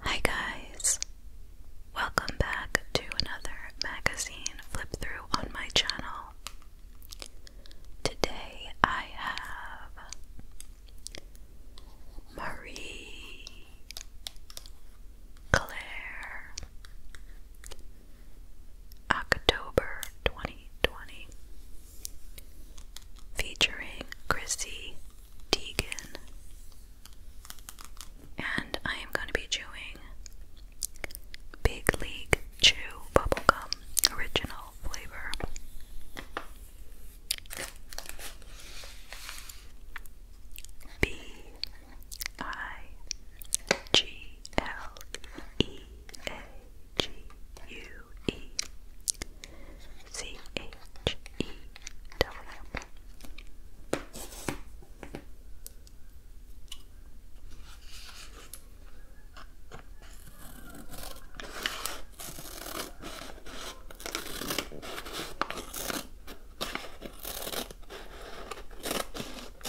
Hi, guys! Welcome back to another magazine flip through on my channel. Today I have Marie Claire October 2020, featuring Chrissy Teigen. And I am going to be chewing Big League Chew Bubblegum Original Flavor. B I G L E A G U E C H E W.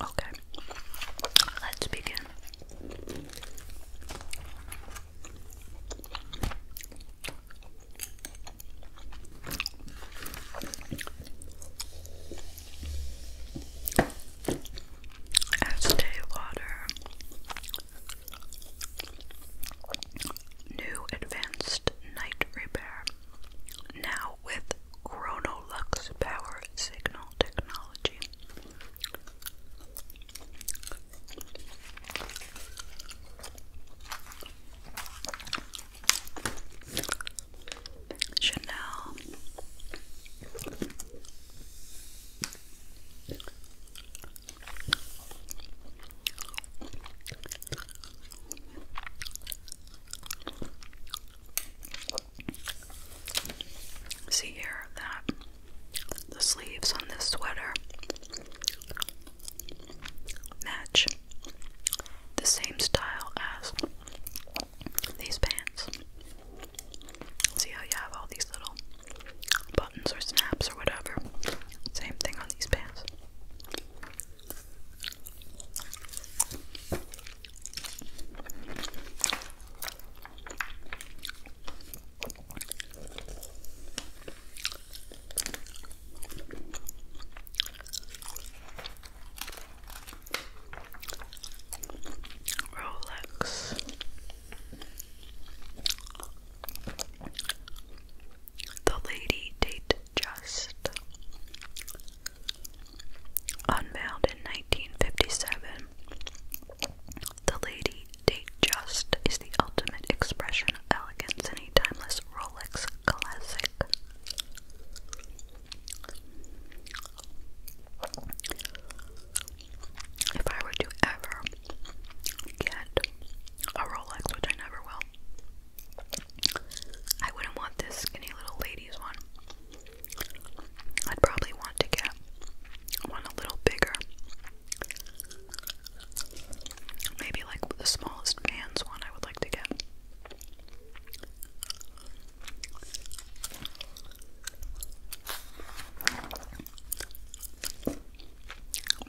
Okay, let's begin. Estee Lauder New Advanced Night Repair now with Chronolux power signal technology. Chanel See here that the sleeves on this sweater match the same style as these pants. See how you have all these little buttons or snaps or whatever? Same thing on these pants. Rolex. The lady date just unveiled in 1957. The Lady Date Just is the ultimate expression of elegance in a timeless Rolex classic. If I were to ever get a Rolex, which I never will, I wouldn't want this skinny little lady's one. I'd probably want to get one a little bigger. Maybe like the smallest man's one I would like to get.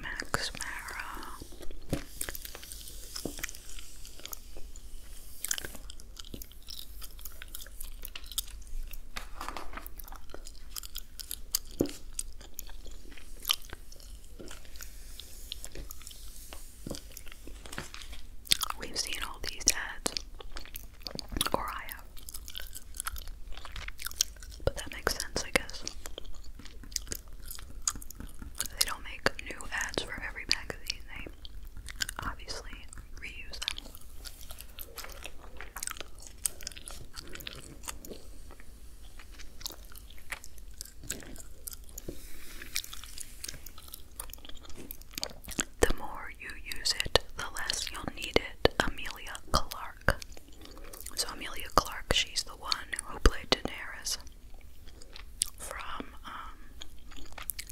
Max Mara We've seen all these ads, or I have, but that makes sense, I guess. They don't make new ads for every magazine, they obviously reuse them. The more you use it, the less you'll need it. Amelia Clark. So Amelia Clark, she's the one who played Daenerys from um,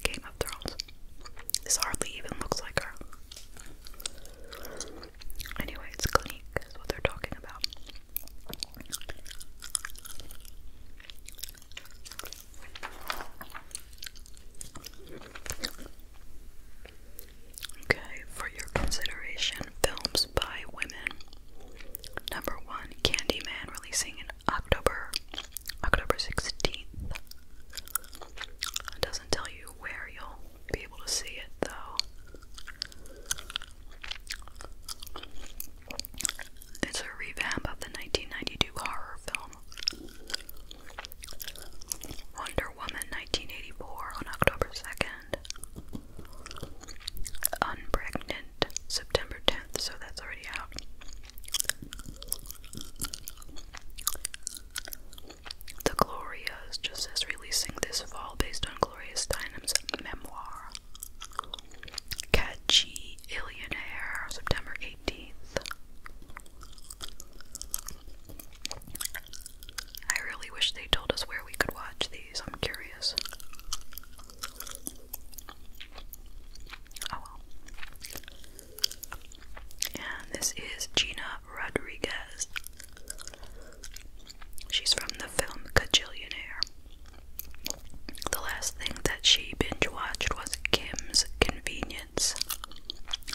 Game of Thrones. This hardly even looks like her. Anyway, it's Clinique is what they're talking about. Okay, for your consideration, films by women. Number one, Candyman releasing in October, October 16th. doesn't tell you where you'll be able to see it though. It's a revamp of the 1992 horror film Wonder Woman 1984 on October 2nd. Unpregnant, September 10th, so that's already out. The Glorias just says releasing this fall based on Gloria Steinem's memoir. Catchy Illionaire, September 18th. I really wish they told us where we could watch these. I'm curious. Oh, and this is Gina Rodriguez. She's from the film Cajillionaire. The last thing that she binge watched was Kim's Convenience.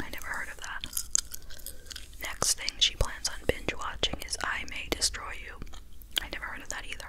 I never heard of that. Next thing she plans on binge watching is I May Destroy You. I never heard of that either.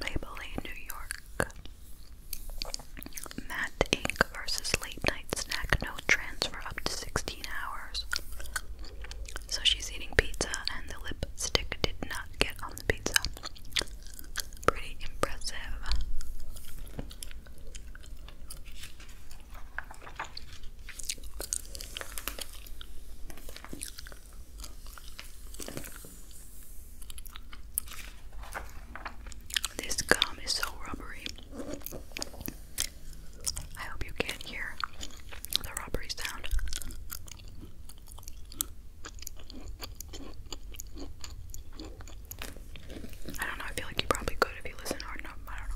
Maybelline, New York. Matte ink versus late night snack no transfer up to 16 hours. So she's eating pizza and the lip stick did not get on the pizza. Pretty impressive. This gum is so rubbery. I hope you can hear the robbery sound. I don't know, I feel like you probably could if you listen hard enough, I don't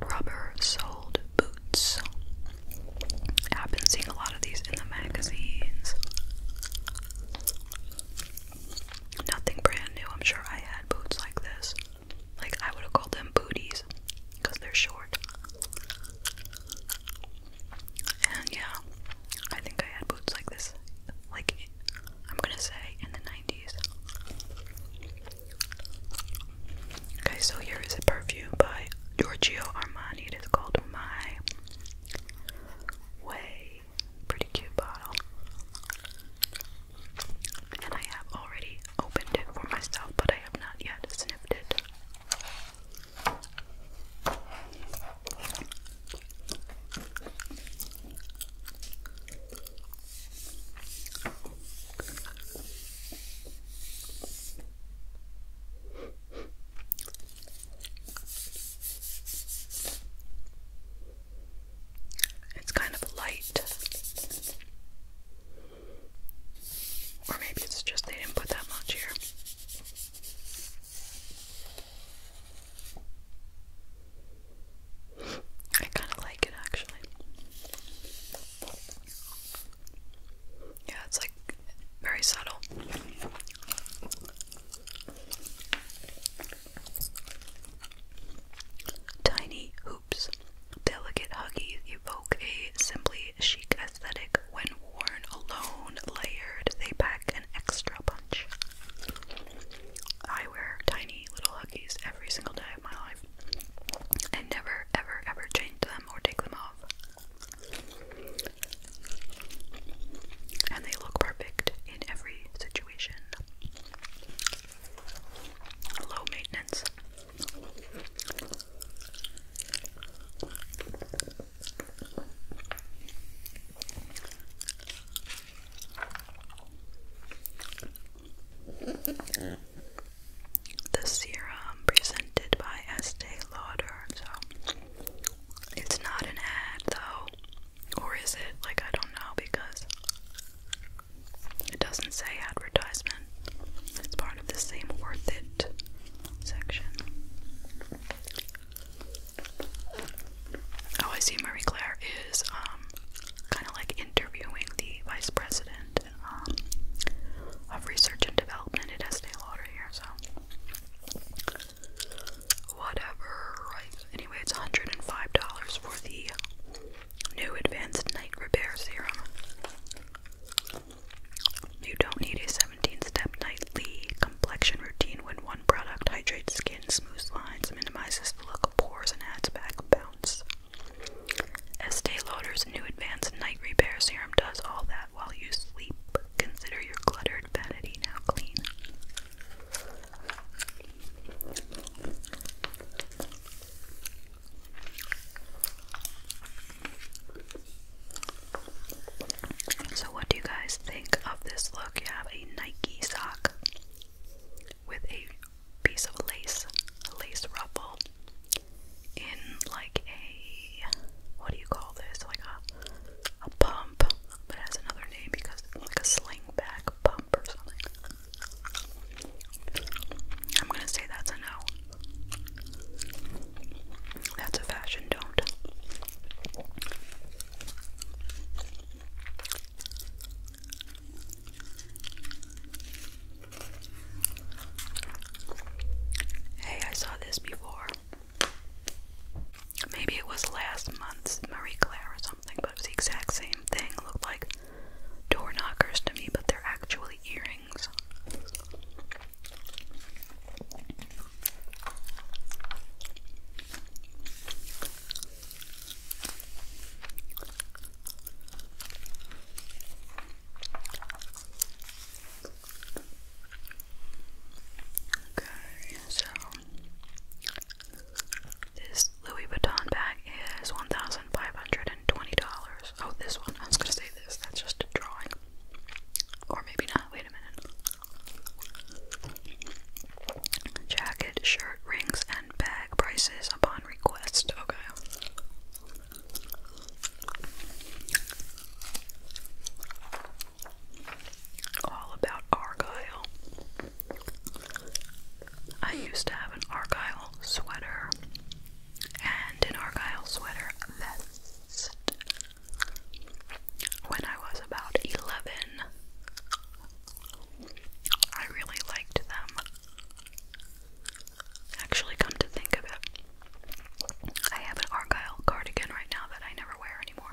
know. Rubber soled boots. I've been seeing a lot of these in the magazines. Nothing brand new. I'm sure I had boots like this. Like, I would have called them booties because they're short. And yeah, I think I had boots like this. Like, I'm gonna say in the 90s. Okay, so here is a perfume by Giorgio Armani. It is called My Way pretty, cute bottle. And I have already opened it for myself, but I have not yet sniffed it. It's kind of light. Or maybe it's just they didn't put that much here. I kind of like it actually. Yeah, it's like very subtle. Tiny hoops. Delicate huggies evoke a simply chic aesthetic when worn alone, layered, they pack an extra punch. I wear tiny little huggies every single day of my life and never, ever, ever change them or take them off. And they look perfect in every situation. Low maintenance. The serum presented by Estee Lauder. So it's not an ad though. Or is it? Like, I don't know because it doesn't say advertisement. It's part of the same worth it section. Oh, I see Marie Claire is um, kind of like interviewing the vice president um, of research and development at Estee Lauder here, so whatever, Anyway, it's $105 for the new Advanced Night Repair Serum. You don't need a 17 step nightly complexion routine when one product hydrates skin, smooths lines, minimizes the pores, and adds back bounce. Estee Lauder's new Advanced Night Repair Serum does all that while you sleep. Consider your cluttered vanity now clean. So, what do you guys think of this look? You have a Nike sock with a piece of lace, lace ruffle, in like a what do you call this? Like a a pump, but has another name because like a sling bag pump or something. I'm gonna say that's a no. That's a fashion don't. Hey, I saw this before. Maybe it was last month's Marie Claire or something, but it was the exact same thing. looked like door knockers to me, but they're actually earrings. Okay, so this Louis Vuitton bag is $1,520. Oh, this one. I was gonna say this. That's just a drawing. Or maybe not. Wait a minute. Jacket, shirt, rings, and bag prices upon request. Okay all about Argyle. I used to have an Argyle sweater and an Argyle sweater vest when I was about 11. I really liked them. Actually, come to think of it, I have an Argyle cardigan right now that I never wear anymore.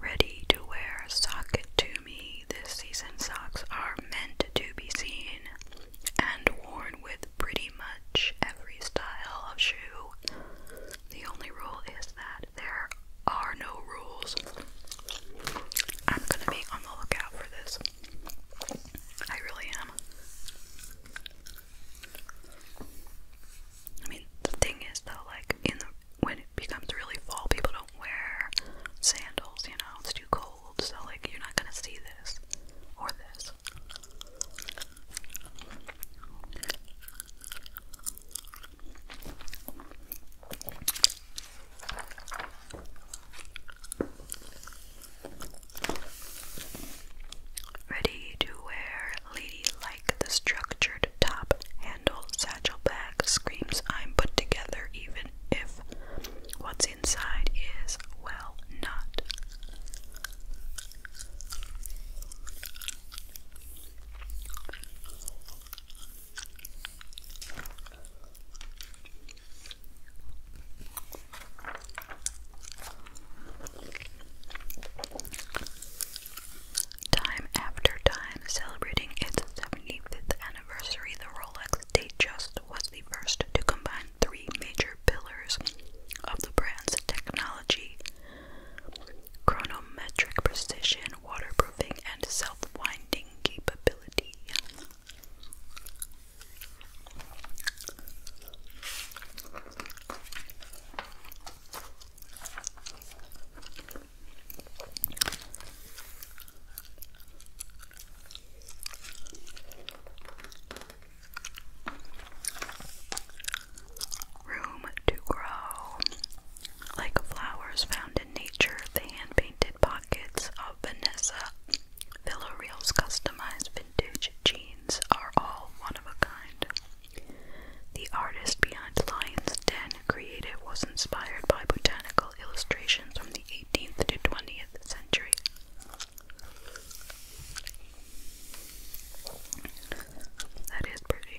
Ready to wear sock to me, this season socks are meant to be seen and worn with pretty much every style of shoe. The only rule is that there are no rules. I'm gonna be on the lookout for this. I really am. I mean, the thing is though, like in when it becomes really fall, people don't wear sandals. You know, it's too cold, so like you're not gonna see this or this. Ready to wear, lady like the structured top handle satchel bag screams I'm put together even if what's inside is well not. Time after time, celebrating its 75th anniversary, the Rolex Datejust was the first to combine three major pillars of the brand's technology chronometric precision, waterproofing, and self winding capability. Room to grow. Like flowers found in nature, the hand painted pockets of Vanessa Villareal's customized vintage jeans are all one of a kind. The artist behind Lion's Den Creative was inspired by botanical illustrations from the 18th to 20th century. That is pretty.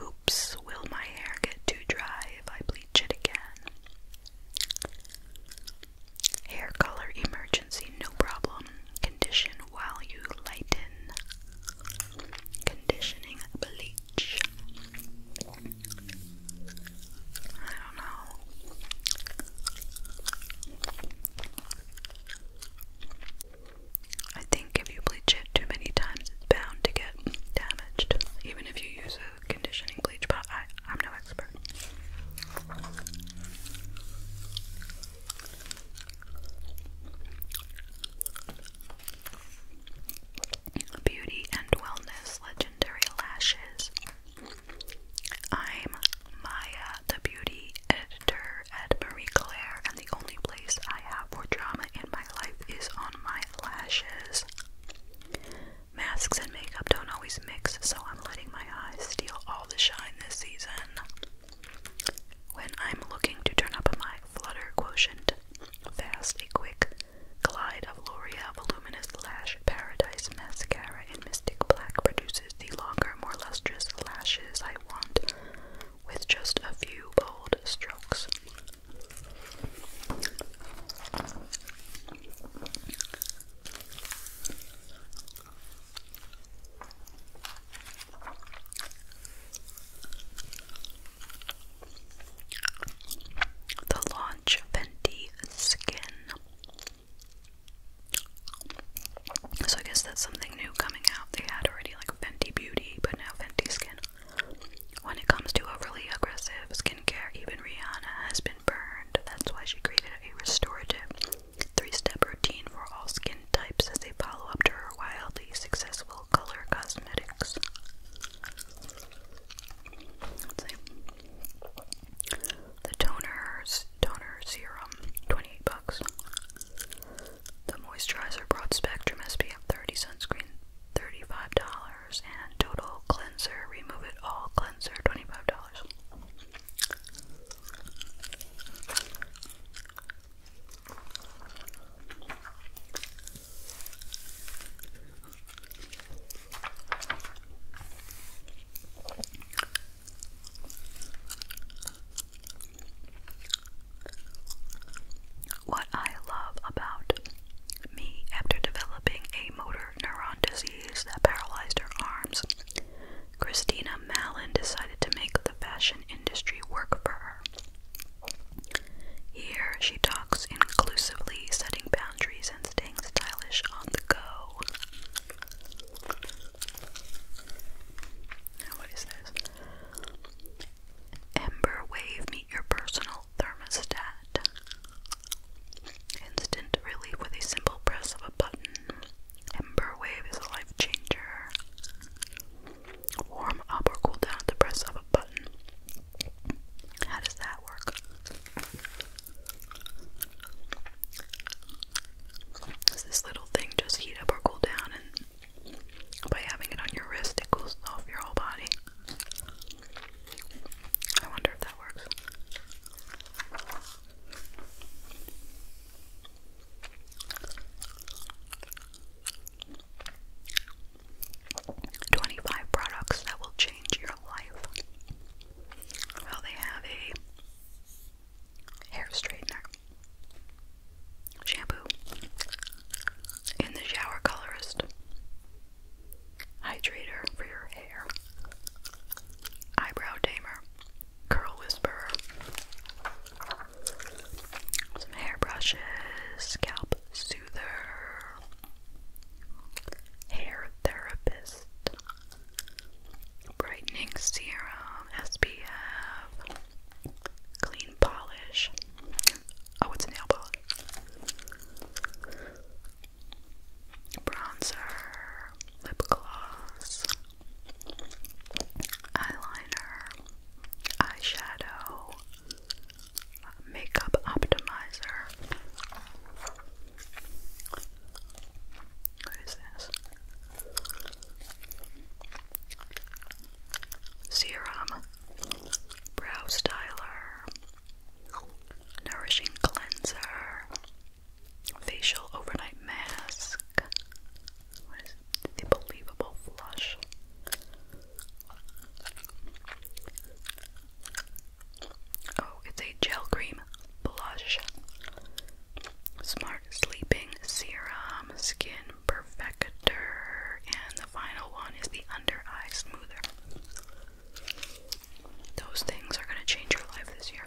Oops, will my hair get too dry if I bleach it again? Hair color emergency, no problem. Condition while you lighten. Conditioning bleach. I don't know. I think if you bleach it too many times, it's bound to get damaged, even if you use a conditioning bleach, but I, am no expert. Beauty and Wellness Legendary Lashes I'm Maya, the beauty editor at Marie Claire, and the only place I have for drama in my life is on my lashes. Masks and makeup don't always mix, so I'm letting my eyes steal all the shine this season. When I'm looking to turn up my flutter quotient, fast, a quick Glide of L'Oreal Voluminous Lash Paradise Mascara in Mystic Black produces the longer, more lustrous lashes I want with just a few bold strokes the Launch Fenty Skin. So I guess that's something new coming out. They had already like Fenty Beauty, but now Fenty Skin. When it comes to overly aggressive skincare, even Rihanna has been burned. That's why she created a restorative three-step routine for all skin types as they follow-up to her wildly successful color cosmetics. The toners, toner serum, 28 bucks. The moisturizer broad spectrum SPF 30 sunscreen, $35. And total cleanser, remove it all cleanser, $25. What I love about me after developing a motor neuron disease that paralyzed her arms, Christina Malin decided to make the fashion industry work for her. Here she talks inclusively, setting and staying stylish on the go. what is this? Ember Wave, meet your personal thermostat. Instant relief with a simple press of a button. Ember Wave is a life changer. Warm up or cool down at the press of a button. How does that work? Does this little thing just heat up or cool down? And by having it on your wrist, it cools off your whole body. I wonder if that works. 25 products that will change your life. Well, they have a hair straightener, shampoo, in the shower colorist, hydrator for your hair, eyebrow tamer, curl whisperer, some hair brushes, scalp soother, hair therapist, brightening serum, SPF, clean polish. Oh, it's a nail polish. Bronzer, lip gloss, eyeliner, eyeshadow, makeup optimizer. What is this? Serum, brow styler, nourishing cleanser, facial overnight mask. What is flush? Oh, it's a gel cream blush. Smart Sleeping Serum Skin Perfector. And the final one is the Under Eye Smoother. Those things are going to change your life this year.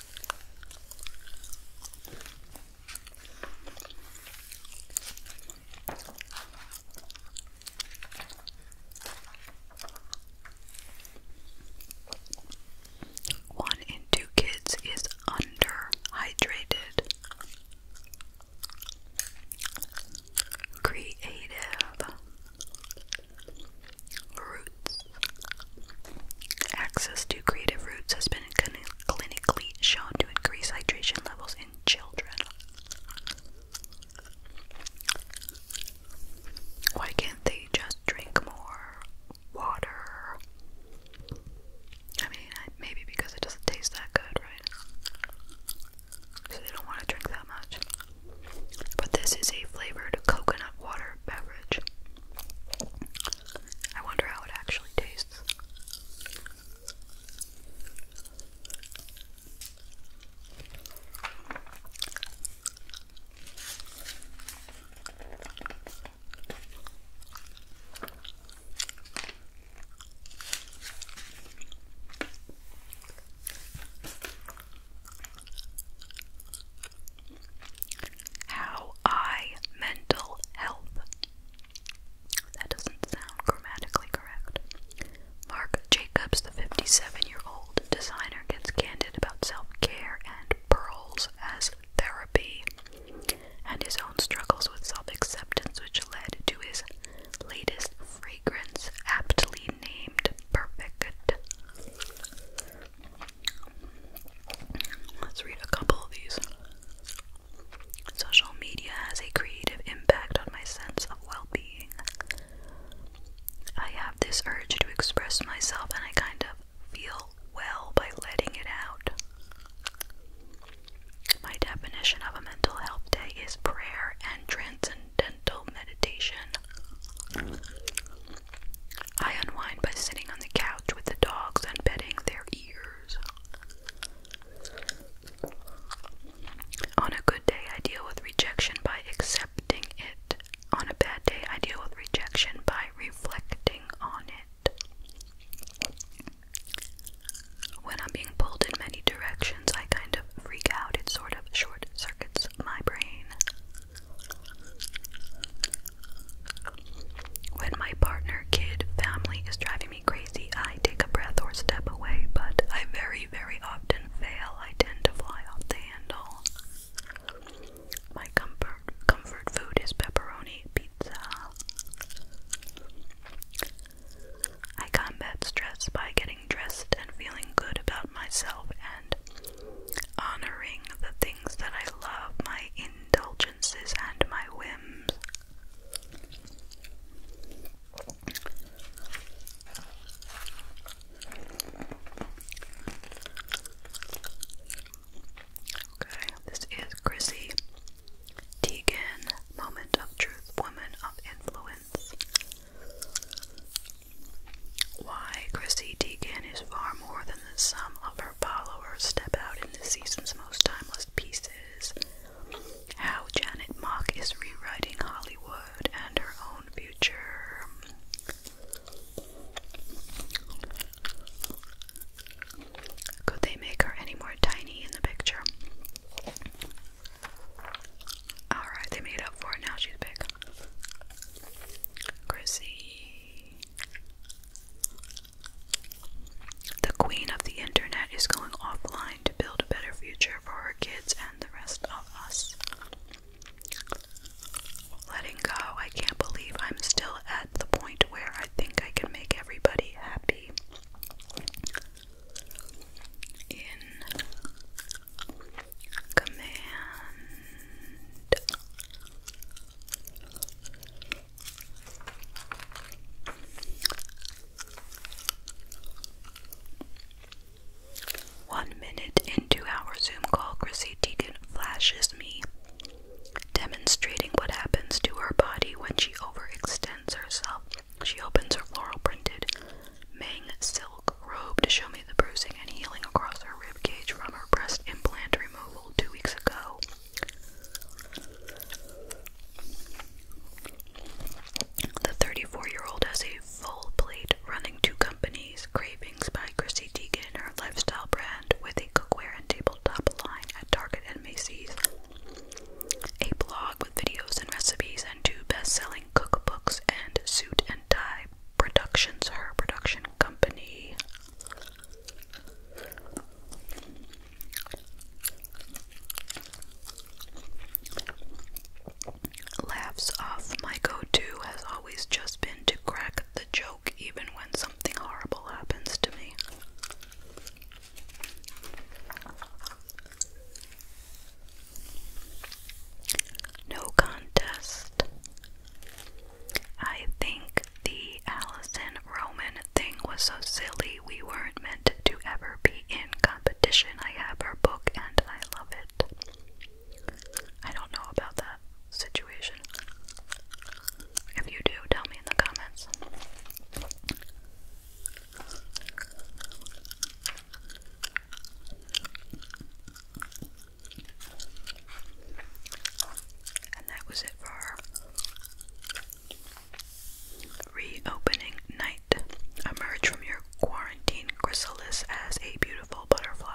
One in two kids is underhydrated. Creative. Access to creative roots has been clinically shown to increase hydration levels in children. Why can't they just drink more water? I mean, maybe because it doesn't taste that good, right? So they don't want to drink that much. But this is a flavored coconut water beverage. I wonder how it actually tastes. How I mental health. That doesn't sound grammatically correct. Mark Jacobs, the 57 year old designer, gets candid about self care and pearls as therapy and his own struggles with self acceptance, which led to his latest fragrance, aptly named Perfect. Let's read a couple of these. Social media has a creative impact on my sense of well being. I have this urge to express myself and I kind of feel well by letting it out. My definition of a mental health day is prayer and transcendental meditation. I unwind by sitting on the couch with the dogs and petting their ears. On a good day, I deal with rejection by accepting it. On a bad day, I deal with rejection by reflecting on it. When I'm being pulled in many directions, I kind of freak out. It sort of short circuits my brain. When my partner, kid, family is driving me crazy, I take a breath or step away, but I very, very often fail. I tend to fly off the handle. My comfort comfort food is pepperoni pizza. I combat stress by getting dressed and feeling good about myself and honoring the things that I love, my indulgences, and my whims. Okay, this is Chrissy Teigen, Moment of Truth, Woman of Influence. Why Chrissy Teigen is far more than the sum of her followers step out in this season's most timeless pieces. How Janet Mock is rewriting Hollywood and her own future. Could they make her any more tiny in the picture? Alright, they made up for it. Now she's big. Chrissy. The queen of the internet is going offline to build a better future for her kids and the rest of us. Letting go, I can't believe I'm still at the point where I think I can make everybody happy. In command one minute into our Zoom call, Chrissy Teigen flashes me, demonstrating what happens to her body when she overextends herself. She opens her floral printed Mang silk robe to show me the bruising and healing across her rib cage from her breast implant two weeks ago. The 34 year old has a full plate running two companies, Cravings by Chrissy her lifestyle brand, with a cookware and tabletop line at Target and Macy's, a blog with videos and recipes, and two best selling cookbooks and suit and tie productions, her production company. Laughs off. My go to has always just been to crack the joke even when something horrible happens to me. No contest. I think the Allison Roman thing was so silly, we weren't meant to ever be in competition. I have her book and I love it. I don't know about that situation. If you do, tell me in the comments. And that was it for Reopening night. Emerge from your quarantine chrysalis as a beautiful butterfly.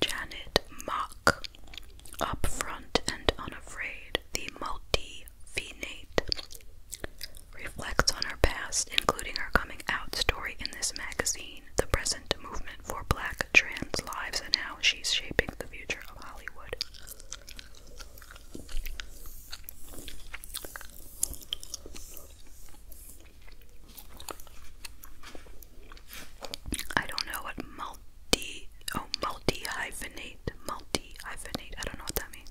Janet Mock, upfront and unafraid, the multi reflects on her past, including her coming out story in this magazine, the present movement for black trans lives, and how she's shaping the future of Hollywood. I don't know what multi oh multi hyphenate multi hyphenate I don't know what that means.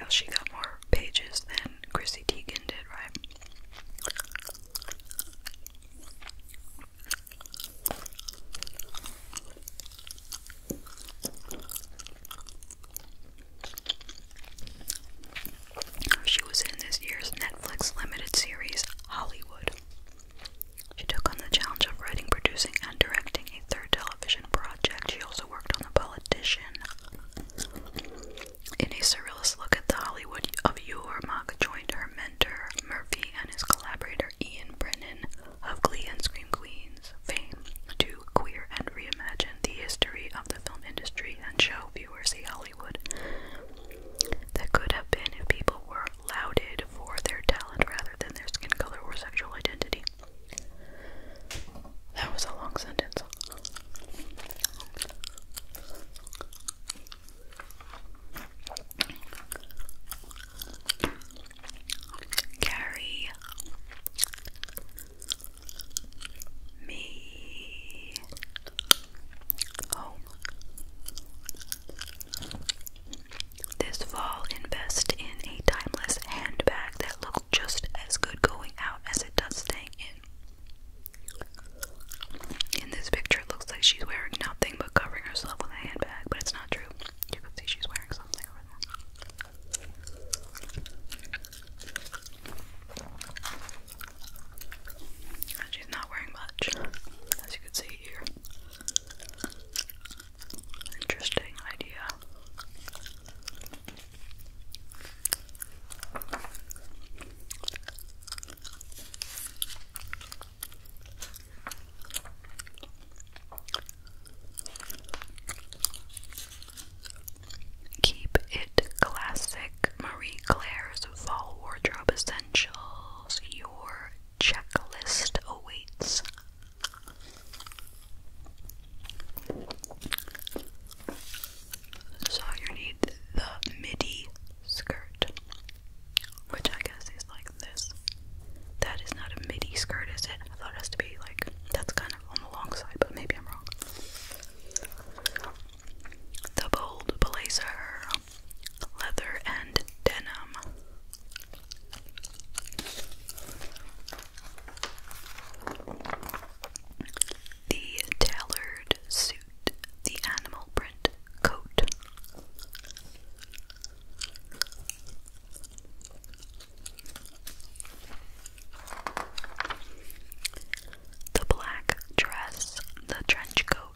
Well, she got more pages than Chrissy Teigen did, right? She was in this year's Netflix limited series, Hollywood. She took on the challenge of writing, producing, and directing a third television project. She also worked on The Politician, in a surrealist look at the Hollywood of yore, Mock joined her mentor Murphy and his collaborator Ian Brennan of Glee and Scream Queens fame to queer and reimagine the history of the film industry and show viewers the Hollywood that could have been if people were lauded for their talent rather than their skin color or sexual identity. That was a long sentence. Carry me home. This fall, invest in a timeless handbag that just as good going out as it does staying in. In this picture, it looks like she's wearing nothing but covering herself with a handbag, but it's not true. You can see she's wearing something she's not wearing much, as you can see here. Interesting idea. Keep it classic Marie Claire's fall wardrobe essentials. Your checklist awaits. So you need the midi skirt, which I guess is like this. That is not a midi skirt, is it? I thought it has to be like that's kind of on the long side, but maybe I'm wrong. The bold blazer, leather and denim. The tailored suit, the animal print coat. The black dress, the trench coat.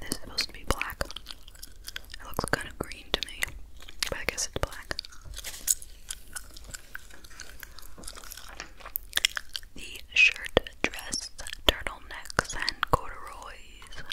This is supposed to be black. It looks kind of green to me, but I guess it's black. The shirt, dress, turtlenecks, and corduroys.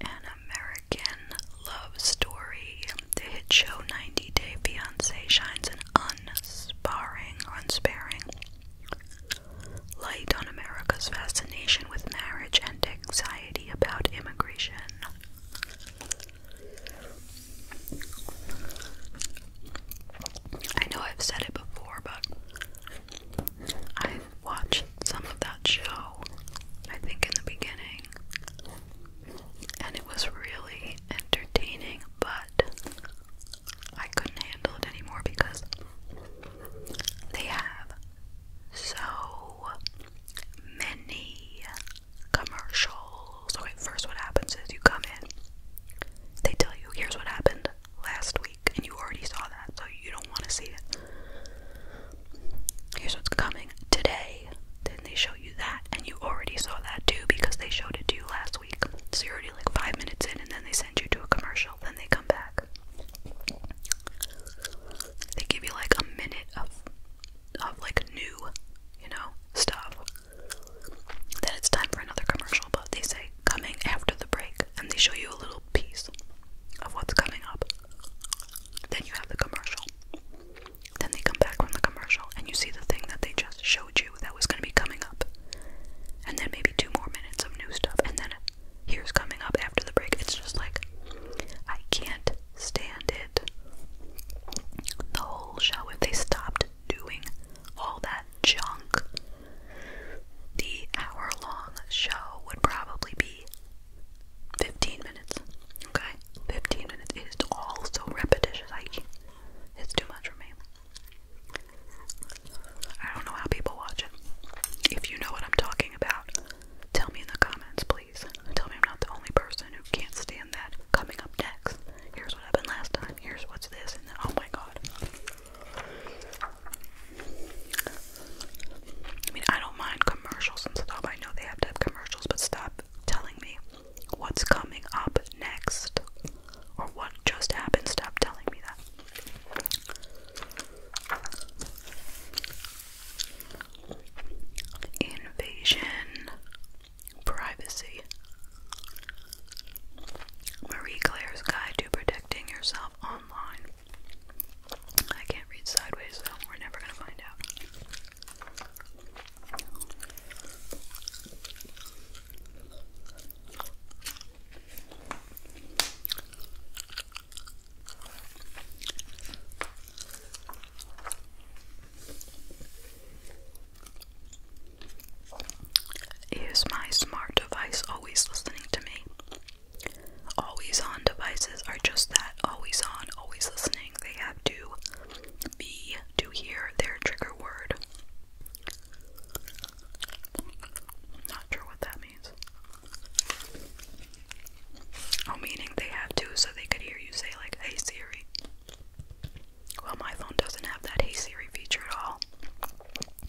An American Love Story. The hit show 90 Day Fiancé shines an unsparring unsparing light on America's fascination with marriage and anxiety about immigration. I know I've said it before, but i watched some of that show, I think, in the beginning, and it was really entertaining, but I couldn't handle it anymore because they have so many commercials. Okay, first, what happens is you come in, they tell you, here's what happened last week, and you already saw that, so you don't want to see it. Here's what's coming today. Then they show you that, and you already saw that too because they showed it to you last week. So you're already like five minutes in, and then they send you to a commercial. Then they come back. They give you like a minute of of like new, you know, stuff. Then it's time for another commercial, but they say coming after the break, and they show you a little piece of what's coming up. Then you have the commercial. Then they come back from the commercial, and you see the thing that they just showed that was going to be coming up. And then maybe two more minutes of new stuff, and then here's coming up after the break. It's just like, I can't stand it. The whole show, if they stopped doing all that junk, the hour long show would probably be 15 minutes. Okay? 15 minutes. It is all so repetitious. I It's too much for me. I don't know how people watch it. If you know what I'm talking about, tell me in the comments, please. Tell me I'm not the only person who can't stand that. Coming up next, here's what happened last time, here's what's this, and then, oh my god. I mean, I don't mind commercials and stuff. I know they have to have commercials, but stop telling me what's coming up next or what just happened. Stop telling me that. Invasion Privacy Marie Claire's Guide to Protecting Yourself Online. I can't read sideways, so we're never going to find out. Is my smart device always listening to me? Always on devices are just that always on, always listening. They have to be to hear their trigger word. Not sure what that means. Oh, meaning they have to, so they could hear you say, like, hey Siri. Well, my phone doesn't have that hey Siri feature at all.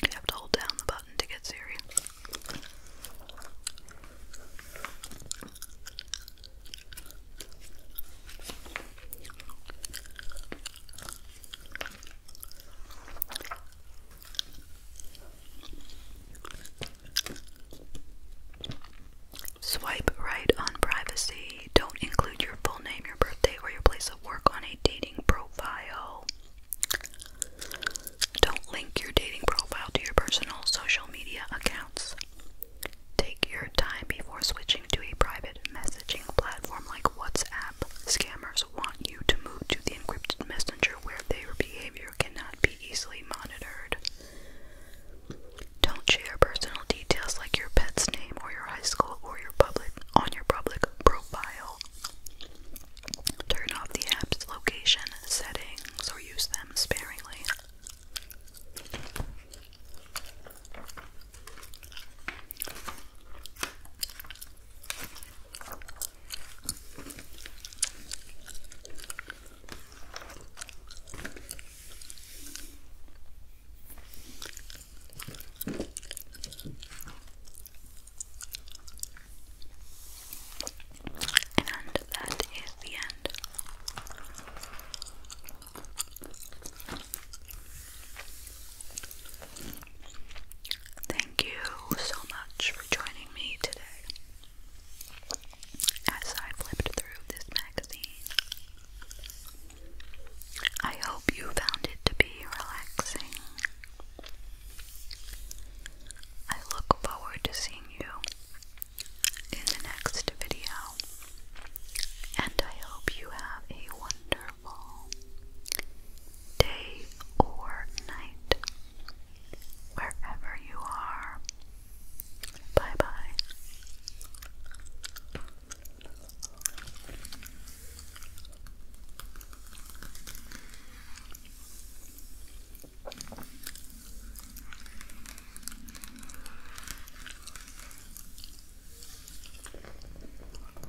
You have to hold down the button to get Siri. Swipe right on privacy. Don't include your full name, your birthday, or your place of work on a dating profile. Don't link your dating profile to your personal social media accounts. Take your time before switching to a private messaging platform like WhatsApp scammers want you to move to the encrypted messenger where their behavior cannot be easily monitored. Don't share personal details like your pet's name or your high school or your public on your public profile. Turn off the app's location settings or use them sparingly. And that is the end. Thank you so much for joining me today as I flipped through this magazine. I hope you found it to be relaxing. I look forward to seeing you in the next video, and I hope you have a wonderful day or night, wherever you are. Bye bye.